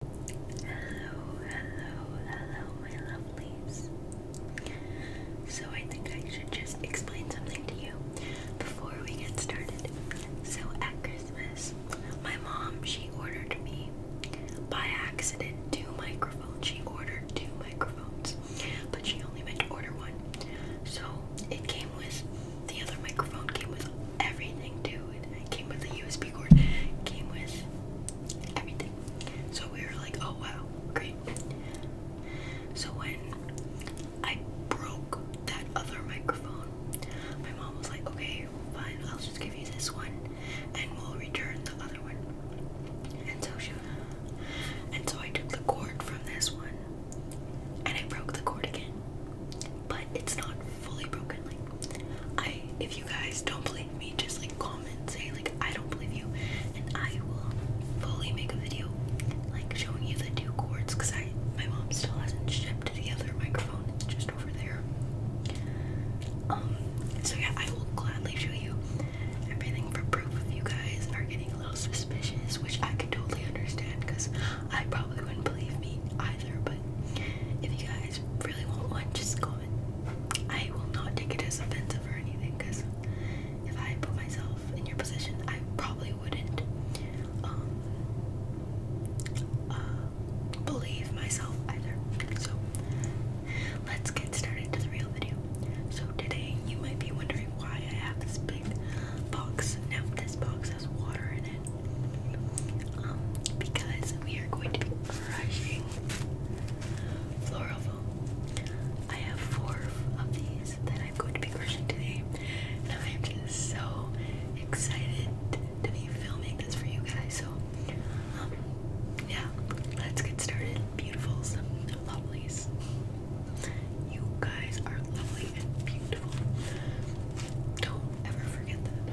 Hello, hello, hello, my lovelies. So, I think I should just explain something to you before we get started. So, at Christmas, my mom she ordered me by accident two microphones. She ordered two microphones, but she only meant to order one. So, it came with the other microphone, came with everything too it. came with a USB cord. came with everything. So we were like, oh wow, great. So when I broke that other microphone, my mom was like, okay, fine, I'll just give you this one and we'll return the other one. And so and so I took the cord from this one and I broke the cord again but it's not fully broken. Like I if you guys don't believe me, just like comment, say like I don't believe you and I will fully make a video like showing you the two cords because I my mom still hasn't shipped the other microphone, it's just over there. Um so yeah I will gladly show you everything for proof if you guys are getting a little suspicious, which I can totally understand because I probably wouldn't believe me either, but if you guys really want one, just comment. I will not take it as offensive or anything because if I put myself in your position, I probably wouldn't um, uh, believe myself either. So let's get started to the real video. So today you might be wondering why I have this big box. Now this box water in it um, because we are going to be crushing floral foam. I have four of these that I'm going to be crushing today, and I am just so excited to be filming this for you guys. So, um, yeah, let's get started. Beautifuls, lovelies. You guys are lovely and beautiful. Don't ever forget that.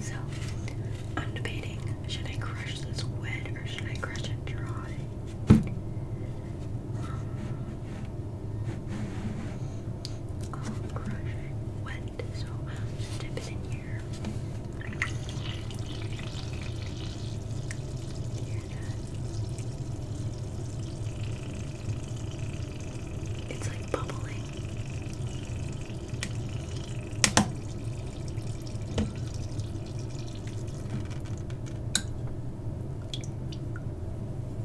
So, I'm debating should I crush this wet or should I crush it dry? all crushed wet, so just dip it in here. It's like bubbling.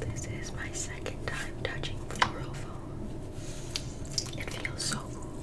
This is my second time touching floral foam. It feels so cool.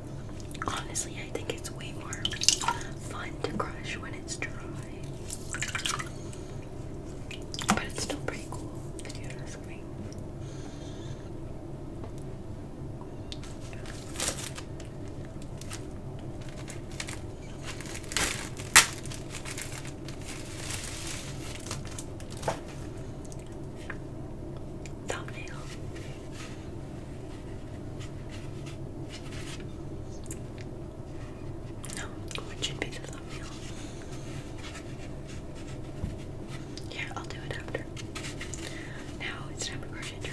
Honestly, I think it's way more fun to crush when it's dry. But it's still pretty cool Thumbnail. No, what should be the thumbnail? Yeah, I'll do it after. Now it's time for brush and dry.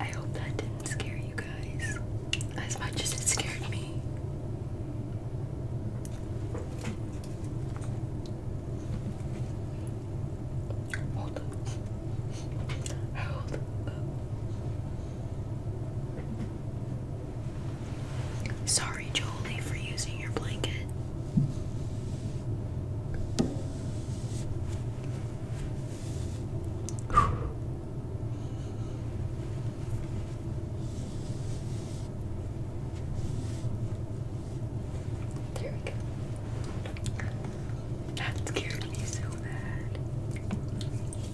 I hope that didn't scare you guys as much as it scared me. Hold up. Hold up. Sorry, Jolie, for using your blanket. There we go. That scared me so bad.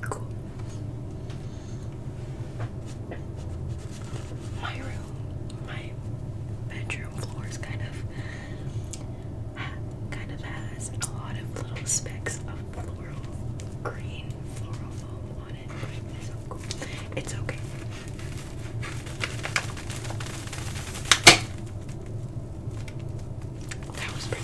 Cool. My room, my bedroom floors kind of kind of has a lot of little specks of floral green floral foam on it. It's so cool. It's okay. That was pretty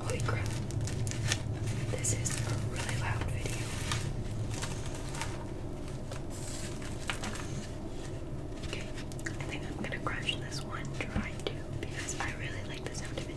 Holy crap. This is a really loud video. Okay, I think I'm gonna crush this one trying to because I really like the sound of it.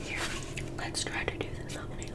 Here, let's try to do the thumbnail.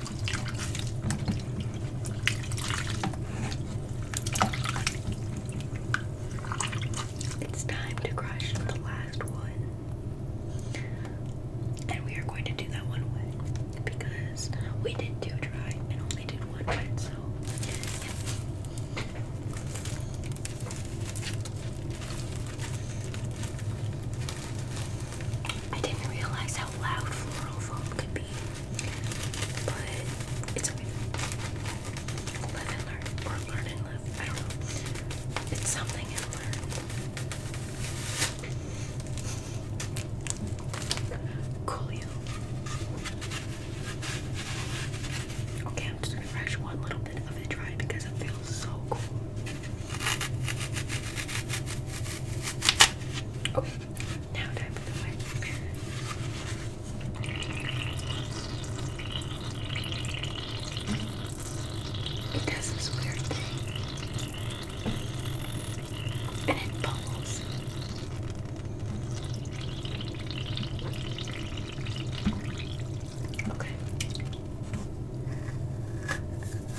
It's time to crush the last one. And we are going to do that one wet because we did two dry and only did one wet, so I didn't realize how loud floral foam could be. But it's okay. Live and learn. Or learn and live. I don't know. It's something and learn. Coolio. Okay, I'm just gonna brush one little bit of it dry because it feels so cool. Okay. It does this weird thing. And it bubbles. Okay.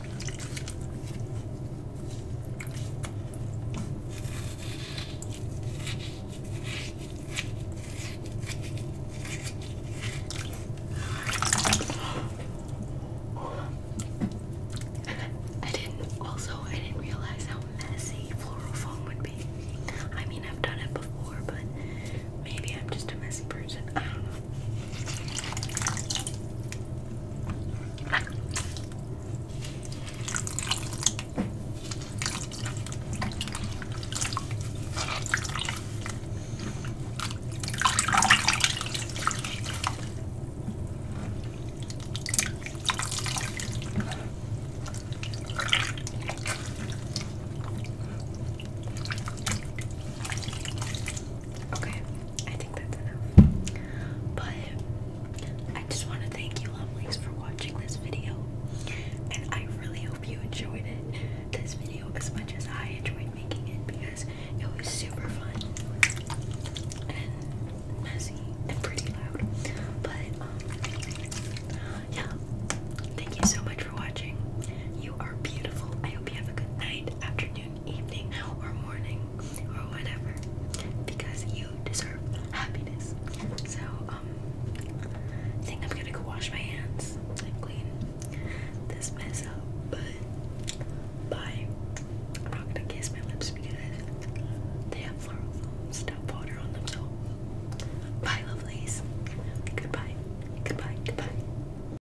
I didn't also I didn't realize how messy floral foam would be. I mean I've done it before but maybe I'm just a messy person. don't know. Okay, I that's enough. But I just want to thank you, lovelies, for watching this video. And I really hope you enjoyed it, this video, as much as I enjoyed making it because it was super fun and messy and pretty loud. But, um, yeah. Thank you so much for watching. You are beautiful. I hope you have a good night, afternoon, evening, or morning, or whatever, because you deserve happiness. So, um, I think I'm gonna go wash my hands and clean this mess up. But bye. I'm not gonna kiss my lips because they have floral foam stuff on them. So, bye, lovelies. Goodbye. Goodbye. Goodbye.